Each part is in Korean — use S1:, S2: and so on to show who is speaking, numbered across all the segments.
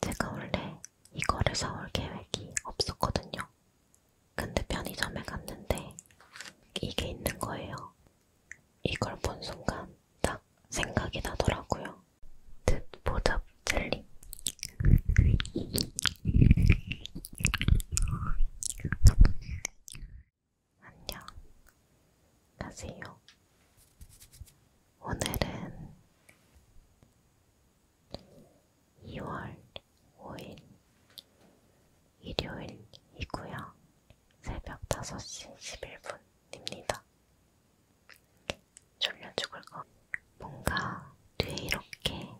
S1: 제가 원래 이거를 사올 계획이 없었거든요. 근데 편의점에 갔는데 이게 있는 거예요. 이걸 본 순간 딱 생각이 나더라고요. 듯보답 젤리. 안녕. 가세요. 오늘은 2월 5일 일요일이고요. 새벽 5시 11분입니다. 졸려 죽을 것 뭔가 뒤에 이렇게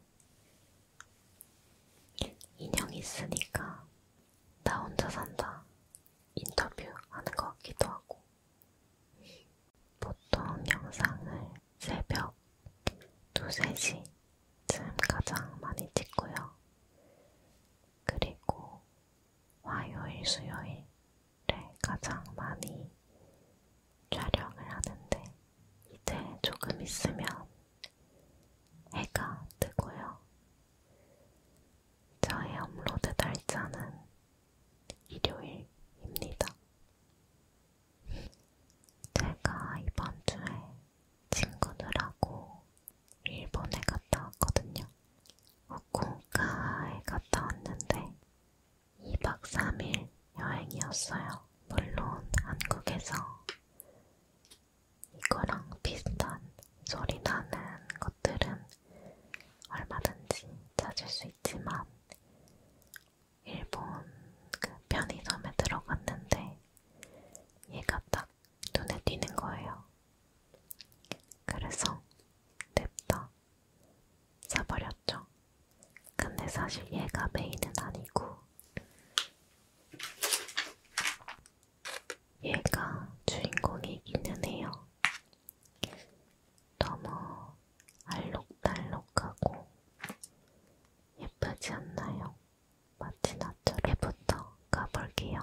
S1: 인형이 있으니까 나 혼자 산다 인터뷰 하는 것 같기도 하고 보통 영상을 새벽 2, 3시쯤 가장 많이 찍고요. 그리고 화요일, 수요일에 가장 많이 촬영을 하는데 이제 조금 있으면 해가 뜨고요. 저의 업로드 날짜는 일요일입니다. 제가 이번 주에 친구들하고 일본에 갔다 왔거든요. 후쿠오카에 갔다 왔는데 2박 3일 여행이었어요. 물론 한국에서 이거랑 비슷한 소리 나는 것들은 얼마든지 찾을 수 있지만 일본 그 편의점에 들어갔는데 얘가 딱 눈에 띄는 거예요. 그래서 냅다 사버렸죠. 근데 사실 얘가 메인은 아니고 얘가 주인공이기는 해요. 너무 알록달록하고 예쁘지 않나요? 마치 나처럼부터 가볼게요.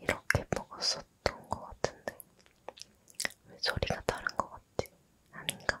S1: 이렇게 먹었었던 것 같은데 왜 소리가 다른 것 같지? 아닌가?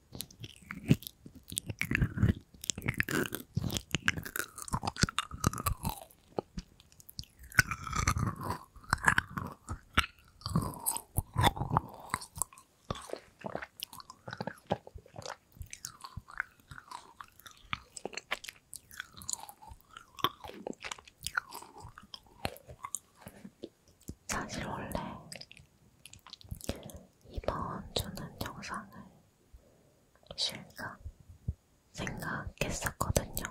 S1: 사실 원래 이번 주는 영상을 실까 생각했었거든요.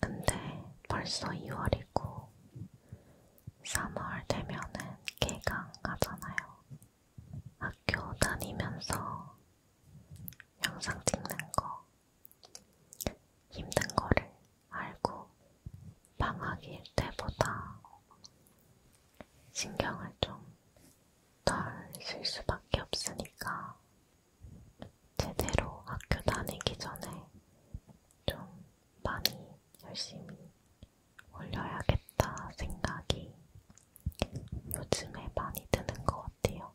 S1: 근데 벌써 2월이고 3월 되면은 개강하잖아요. 학교 다니면서 영상 찍는 거 힘든 거를 알고 방학일 때보다 신경을 좀 덜 쓸 수밖에 없으니까 제대로 학교 다니기 전에 좀 많이 열심히 올려야겠다 생각이 요즘에 많이 드는 것 같아요.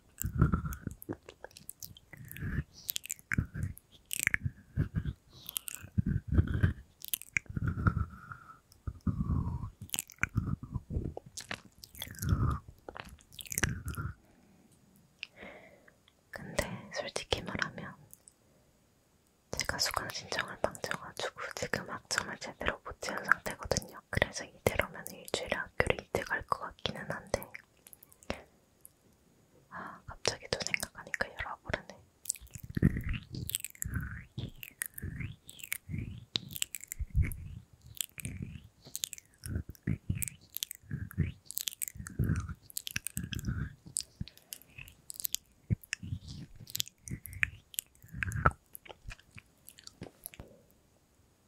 S1: 근데 솔직히 말하면 제가 수강 신청을 망쳐가지고 지금 학점을 제대로 못 채운 상태거든요. 그래서 이대로면 일주일에 학교를 이득할 것 같기는 한데 아 갑자기 또 생각하니까 열어보르네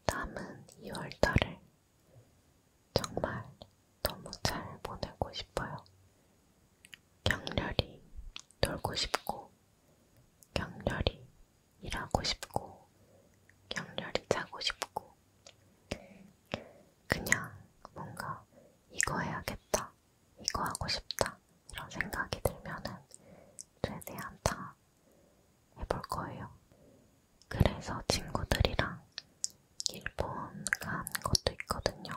S1: 남은 2월달을 정말 너무 잘 보내고 싶어요. 격렬히 놀고 싶고, 격렬히 일하고 싶고, 격렬히 자고 싶고, 그냥 뭔가 이거 해야겠다, 이거 하고 싶다, 이런 생각이 들면은 최대한 다 해볼 거예요. 그래서 친구들이랑 일본 간 것도 있거든요.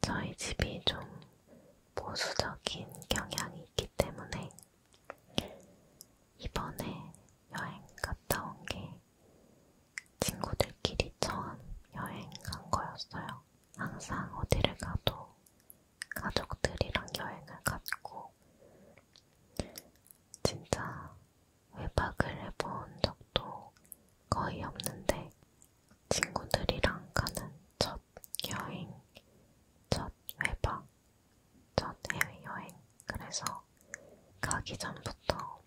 S1: 저희 집이 좀 보수적인 경향이 있기 때문에 이번에 여행 갔다 온 게 친구들끼리 처음 여행 간 거였어요. 항상 어디를 가도 가족들이랑 여행을 갔고, 진짜 외박을 해본 적도 거의 없는데, 친구들이랑 가는 첫 여행, 첫 외박, 첫 해외여행. 그래서 가기 전부터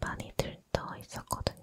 S1: 많이 들떠 있었거든요.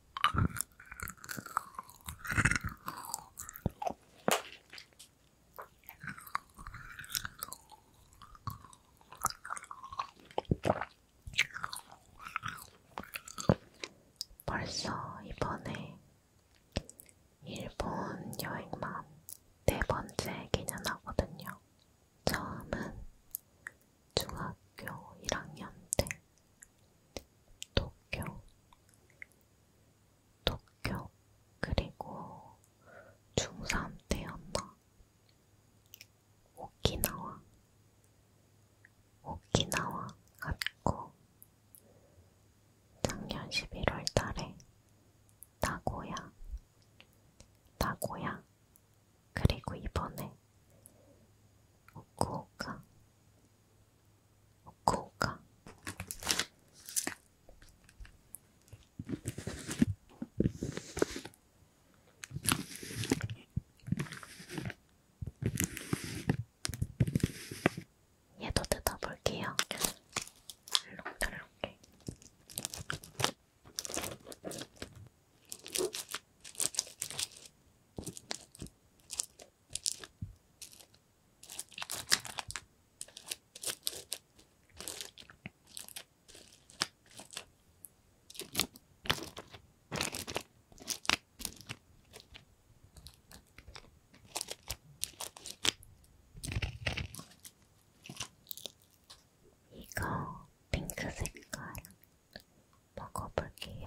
S1: 벌써 이번에 일본 여행만 네 번째 기념하거든요. 처음은 중학교 1학년 때 도쿄, 도쿄, 그리고 중3 때였나? 오키나와, 오키나와 갔고, 작년 11월 달에 나고야, 나고야, 그리고 이번에 후쿠오카, 코가 얘도 뜯어볼게요. 이렇게 이렇게 이거 핑크 색깔 먹어볼게요.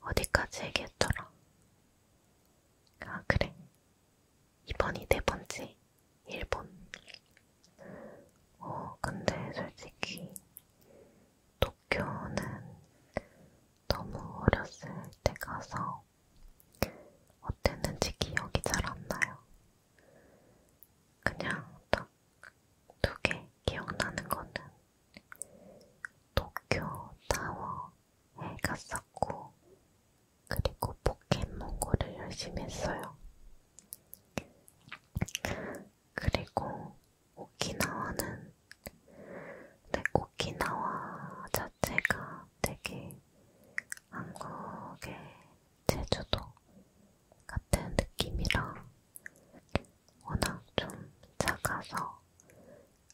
S1: 어디까지 얘기했더라? 아, 그래. 이번이 네 번째. 일본. 어, 근데 솔직히 또 학교는 너무 어렸을 때 가서 어땠는지 기억이 잘 안 나요. 그냥 딱 두 개 기억나는 거는 도쿄 타워에 갔었고 그리고 포켓몬고를 열심히 했어요. 그리고 오키나와는 근데 오키나와 자체가 되게 한국의 제주도 같은 느낌이라 워낙 좀 작아서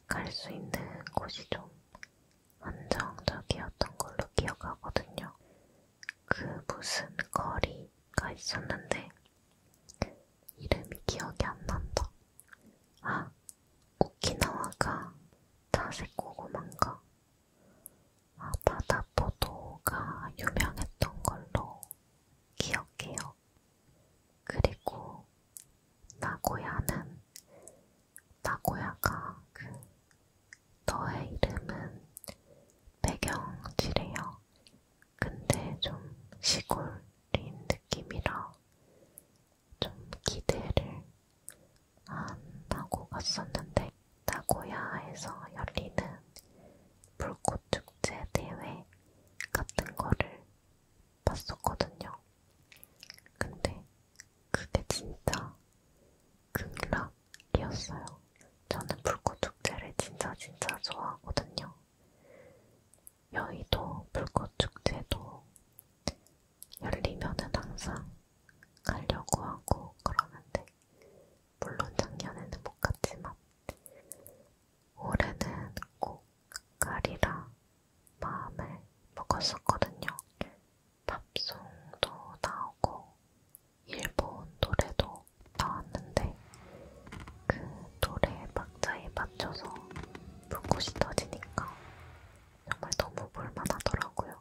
S1: 갈 수 있는 곳이 좀 한정적이었던 걸로 기억하거든요. 그 무슨 거리가 있었는데 이름이 기억이 안 난다. 아, 오키나와가 자색 고구마인가? 아, 바다 포도가 유명했던 걸로 기억해요. 그리고 나고야는 나고야가 그 너의 이름은 배경지래요. 근데 좀 시골인 느낌이라 좀 기대를 안 하고 갔었는데 나고야에서 열리는 불꽃축제 대회 같은 거를 봤었거든요. 근데 그게 진짜 극락이었어요. 저는 불꽃축제를 진짜 진짜 좋아하거든요. 여의도 불꽃축제도 열리면은 항상 가려고 하고 그러는데 물론 작년에는 못 갔지만 올해는 꼭 가리라 마음을 먹었었거든요. 팝송도 나오고 일본 노래도 곡 나왔는데 그 노래 박자에 맞춰서 불꽃이 터지니까 정말 너무 볼만하더라고요.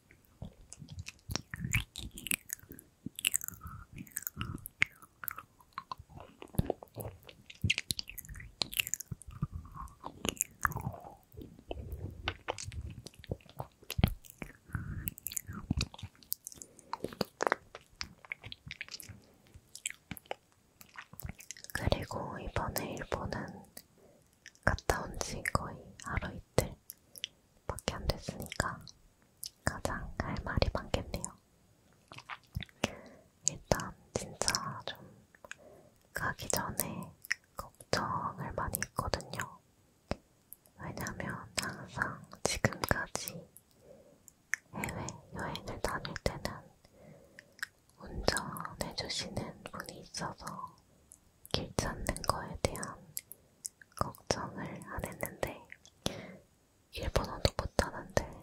S1: 그리고 이번에 일본은 갔다 온 지 거의 하루 이틀 밖에 안 됐으니까 가장 할 말이 많겠네요. 일단 진짜 좀 가기 전에 걱정을 많이 했거든요. 왜냐면 항상 지금까지 해외 여행을 다닐 때는 운전해주시는 분이 있어서 길 찾는 거에 대한 걱정을 안 했는데 일본어도 못하는데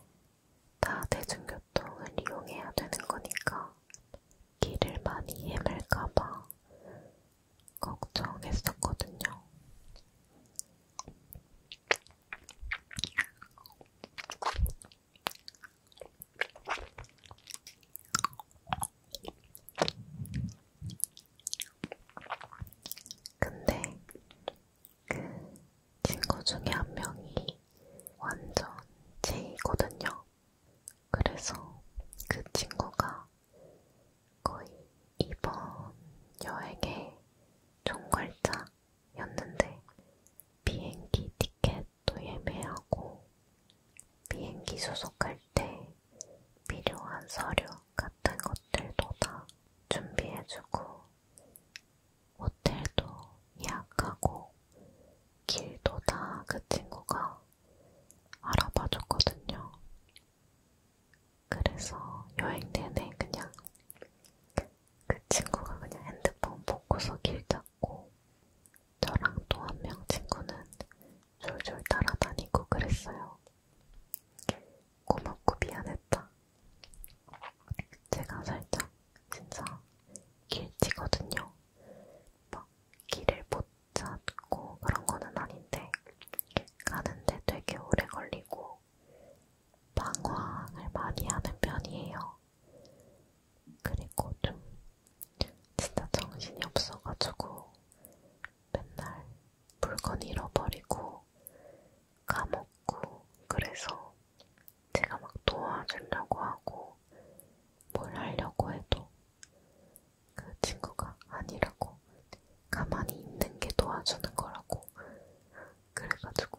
S1: 다 대중교통을 이용해야 되는 거니까 길을 많이 헤맬까봐 걱정했었거든요. 근데 그 친구 중에 한 명이 완전 제이거든요. 그래서 그 친구가 거의 이번 여행의 총괄자였는데 비행기 티켓도 예매하고 비행기 소속할 때 필요한 서류 같은 것들도 다 준비해주고, 호텔도 예약하고, 길도 다 그 친구가 알아봐줬거든요. 그래서 여행 내내 그냥 그 친구가 그냥 핸드폰 보고서 길 잡고 저랑 또 한 명 친구는 졸졸 따라다니고 그랬어요. 고맙고 미안했다. 제가 살짝 진짜 길치거든요. 막 길을 못 찾고 그런 거는 아닌데 가는데 되게 오래 걸리고 방황을 많이 하는 편이에요. 그리고 좀 진짜 정신이 없어가지고 맨날 물건 잃어버리고 까먹고 그래서 제가 막 도와주려고 하고 뭘 하려고 해도 그 친구가 아니라고 가만히 있는 게 도와주는 거라고 그래가지고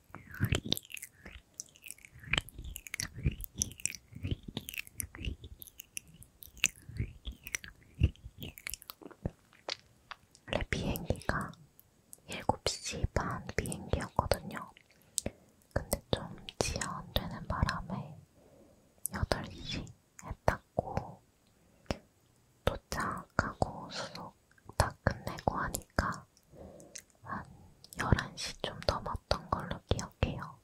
S1: 원래 비행기가 7시 반 비행기였거든요. 근데 좀 지연되는 바람에 8시에 닦고 도착하고 수소 계속 다 끝내고 하니까 한 11시 좀 넘었던 걸로 기억해요.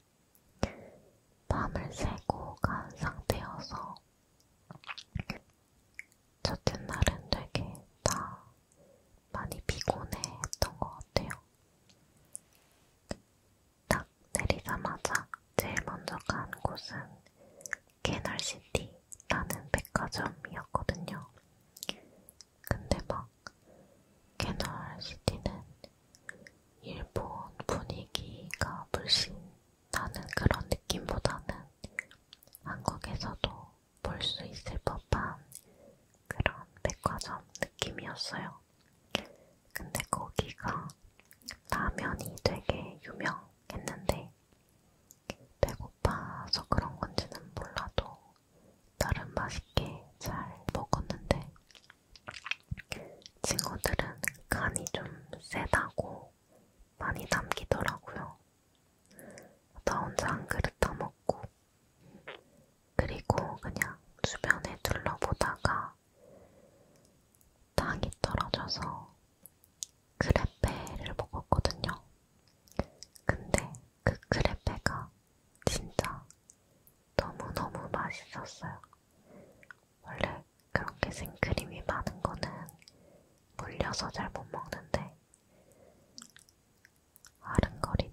S1: 밤을 새고 간 상태여서 첫째 날은 되게 다 많이 피곤해했던 것 같아요. 딱 내리자마자 제일 먼저 간 곳은 캐널시티라는 백화점이었거든요. 근데 막 캐널시티는 일본 분위기가 물씬 나는 그런 느낌보다는 한국에서도 볼 수 있을 법한 그런 백화점 느낌이었어요. 근데 거기가 라면이 되게 유명했는데 배고파서 그런 건지는 몰라도 나름 맛있게 잘 먹었는데 징어들은 간이 좀 세다고 많이 남기더라고요. 나 혼자 한 그릇 다 먹고 그리고 그냥 주변에 둘러보다가 땅이 떨어져서 크레페를 먹었거든요. 근데 그 크레페가 진짜 너무너무 맛있었어요. 원래 그렇게 생크림이 많은 거는 물려서 잘 못 먹는데 아른거리네.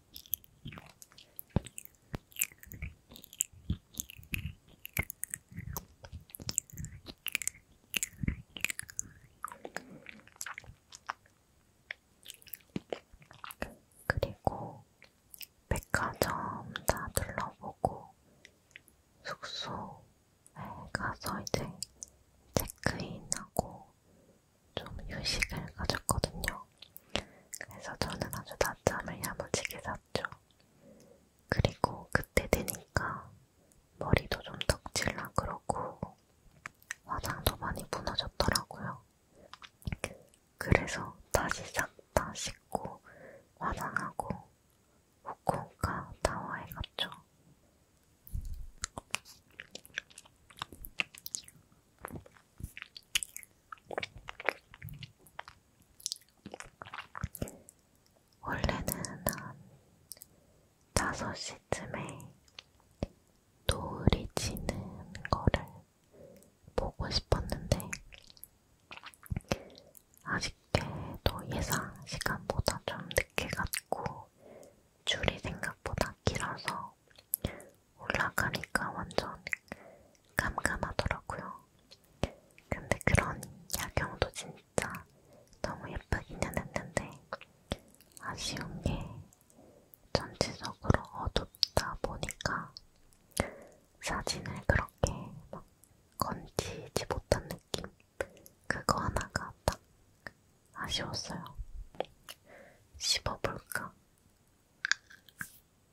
S1: 그리고 백화점 다 둘러보고 숙소에 가서 이제 체크인하고 좀 휴식을 가졌거든요. 거예요. 그래서 저는 아주 낮잠을 야무지게 잤죠. 그리고 그때 되니까 머리도 좀 덕질나 그러고 화장도 많이 무너졌더라고요. 그래서 다시 싹 다 씻고 화장하고 후쿠오카 타워에 갔죠. 원래는 한 5시쯤에 노을이 지는 거를 보고 싶었는데 아쉽게도 예상 시간보다 좀 늦게 갔고 줄이 생각보다 길어서 올라가니까 완전 깜깜하더라고요. 근데 그런 야경도 진짜 너무 예쁘기는 했는데 아쉬운 게 전체적으로 어둡다 보니까 사진을 그렇게 막 건지지 못한 느낌? 그거 하나가 딱 아쉬웠어요. 씹어볼까?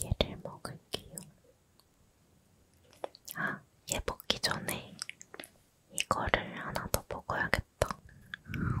S1: 이제는 얘를 먹을게요. 아, 얘 먹기 전에 이거를 하나 더 먹어야겠다. 음.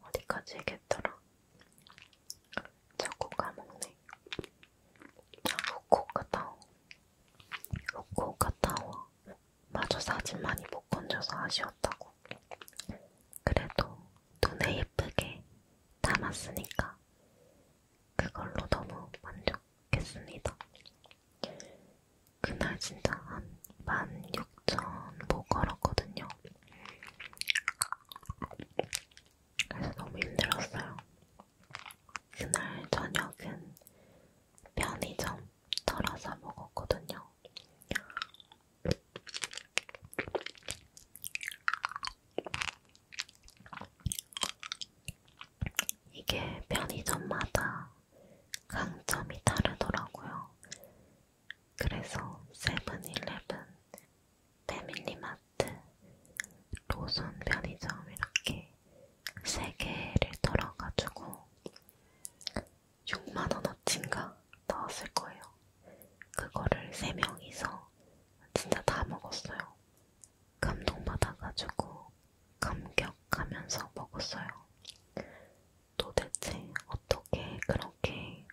S1: 어디까지 얘기했더라? 자꾸 까먹네. 아, 후쿠오카타워. 후쿠오카타워. 마저 사진 많이 못 건져서 아쉬웠다고. 그래도 눈에 예쁘게 담았으니까 그걸로 너무 만족했습니다. 그날 진짜 한 16,000보 걸었거든요. 그래서 너무 힘들었어요. 그날 저녁은 편의점 털어서 먹었거든요. 이게 편의점마다 강점이 다르더라고요. 그래서 세븐일레븐, 패밀리마트, 로손 편의점 이렇게 세 개를 털어가지고 6만원어치인가 나왔을 거예요. 그거를 세 명이서 진짜 다 먹었어요. 감동받아가지고 감격하면서 먹었어요. 도대체 어떻게 그렇게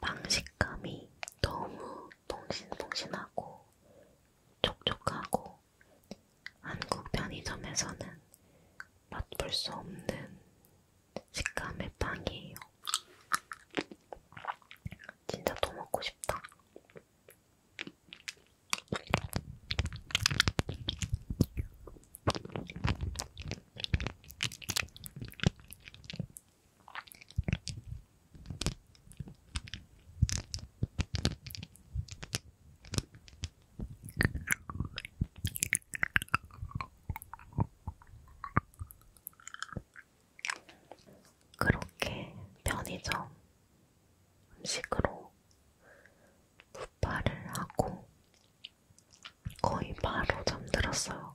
S1: 방식감이 너무 퐁신퐁신하고 촉촉하고 한국 편의점에서는 맛볼 수 없는 식감의 빵이에요. 진짜 또 먹고 싶다. 그렇게 편의점 음식으로 부파를 하고 거의 바로 잠들었어요.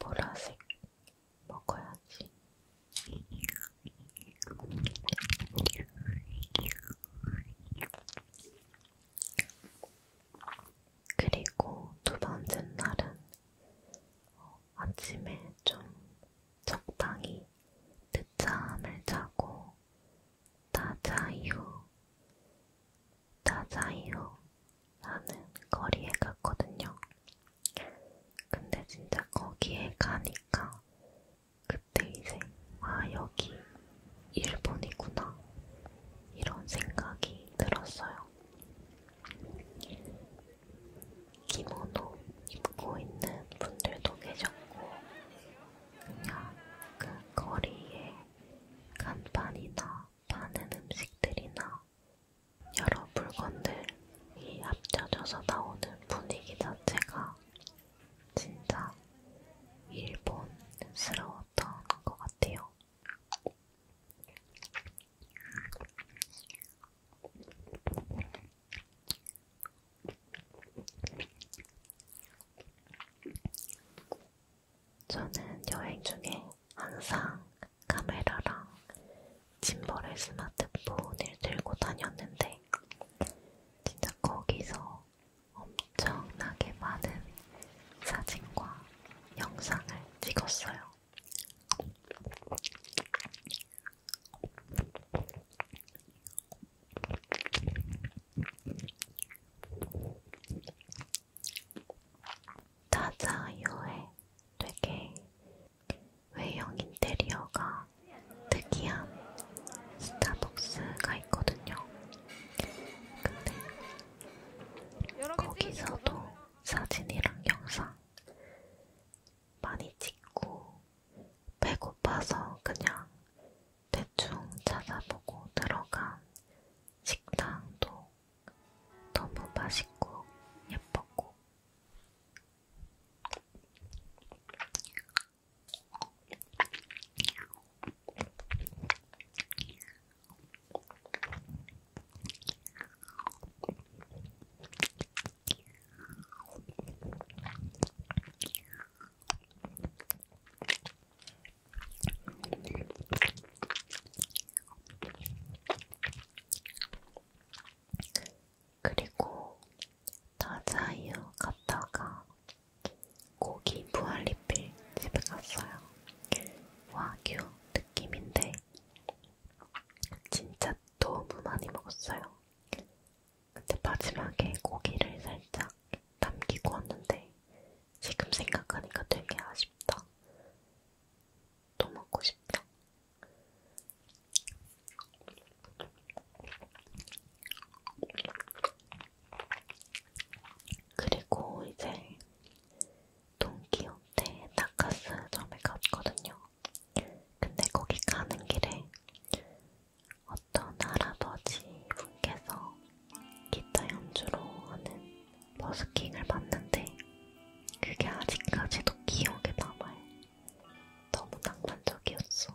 S1: 보라색 먹어야지. 그리고 두 번째 날은 어, 아침에 좀 적당히 늦잠을 자고 다자이후, 다자이후라는 거리에 갔거든요. 근데 진짜 거기에 가니까 그때 이제 아 여기 일본이구나 이런 생각이 들었어요. 기모노 입고 있는 분들도 계셨고 그냥 그 거리에 간판이나 파는 음식들이나 여러 물건들이 합쳐져서 나오는 분위기 자체가 진짜 일본스러웠던 것 같아요. 저는 여행 중에 항상 카메라랑 짐벌의 스마트폰을 들고 다녔는데 진짜 거기서 엄청나게 많은 사진과 영상을 찍었어요. 자자유의 되게 외형 인테리어가 특이한 스타벅스가 있거든요. 근데 거기서도 사진이랑 영상 많이 찍고 배고파서 그냥 대충 찾아보고 들어간 식당도 너무 맛있고 예뻤고 그리고 더자유 갔다가 고기 부활리필 집에 갔어요. 와규 느낌인데 진짜 너무 많이 먹었어요. 근데 마지막에 고기를 살짝 남기고 왔는데 지금 생각하니까 되게 아쉽다. 또 먹고 싶다. 그리고 이제 동키호테 다카스점에 갔거든요. 근데 거기 가는 길에 어떤 할아버지 분께서 기타 연주로 하는 버스킹을 봤는데 그게 아직까지도 기억에 남아요. 너무 낭만적이었어.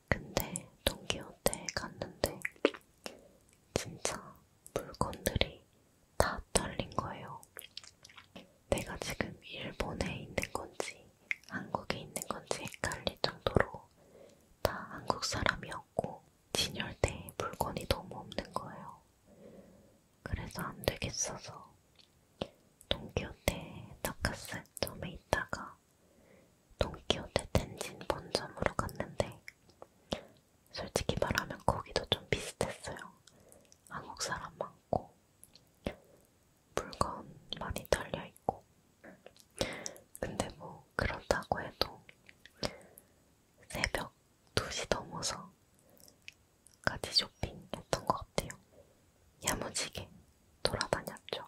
S1: 근데 동키호테에 갔는데 진짜 물건들이 다 털린 거예요. 내가 지금 일본에 있는 건지 한국에 있는 건지 헷갈릴 정도로 다 한국 사람이었고 진열대에 물건이 너무 없는 거예요. 그래서 안 되겠어서 동키호테 다카스점에 있다가 동키호테 텐진 본점으로 갔는데 솔직히 말하면 거기도 좀 비슷했어요. 한국 사람 많고 물건 많이 털려있고 근데 뭐 그렇다고 해도 새벽 2시 넘어서 까지 쇼핑했던 것 같아요. 야무지게 돌아다녔죠.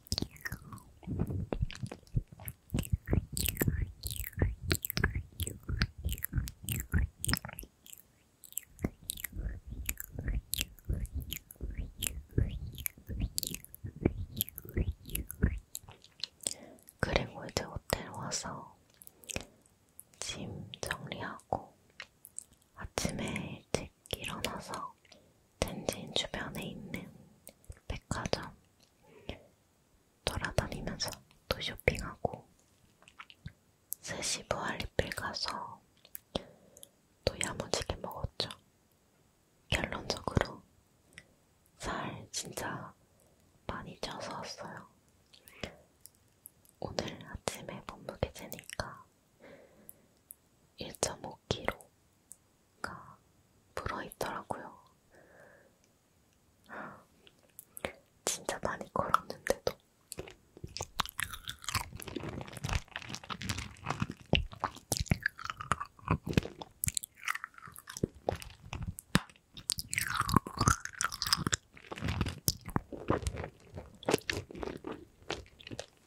S1: 그리고 이제 호텔 와서 짐 정리하고 아침에 일찍 일찍 일어나서 텐진 주변에 있는 백화점 돌아다니면서 또 쇼핑하고 스시 부활리필 가서 또 야무지게 먹었죠. 결론적으로 살 진짜 많이 쪄서 왔어요. 오늘 아침에 몸무게 재니까 1.5kg가 불어있더라고요. 진짜 많이 걸었는데도.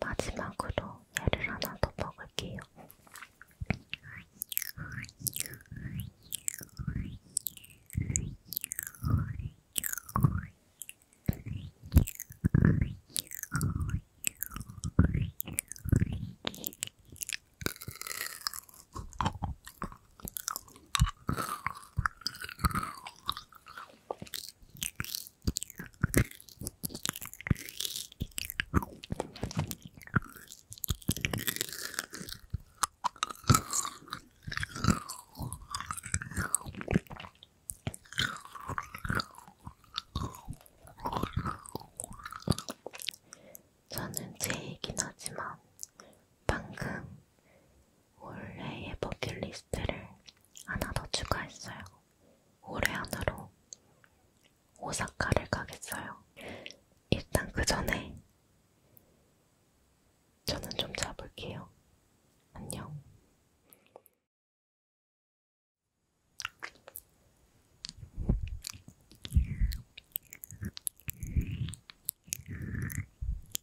S1: 마지막으로 얘를 하나 더 먹을게요. 저는 제 얘긴 하지만 방금 올해의 버킷리스트를 하나 더 추가했어요. 올해 안으로 오사카를 가겠어요. 일단 그 전에 저는 좀 자볼게요. 안녕.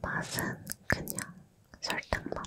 S1: 맛은 그냥 설탕맛.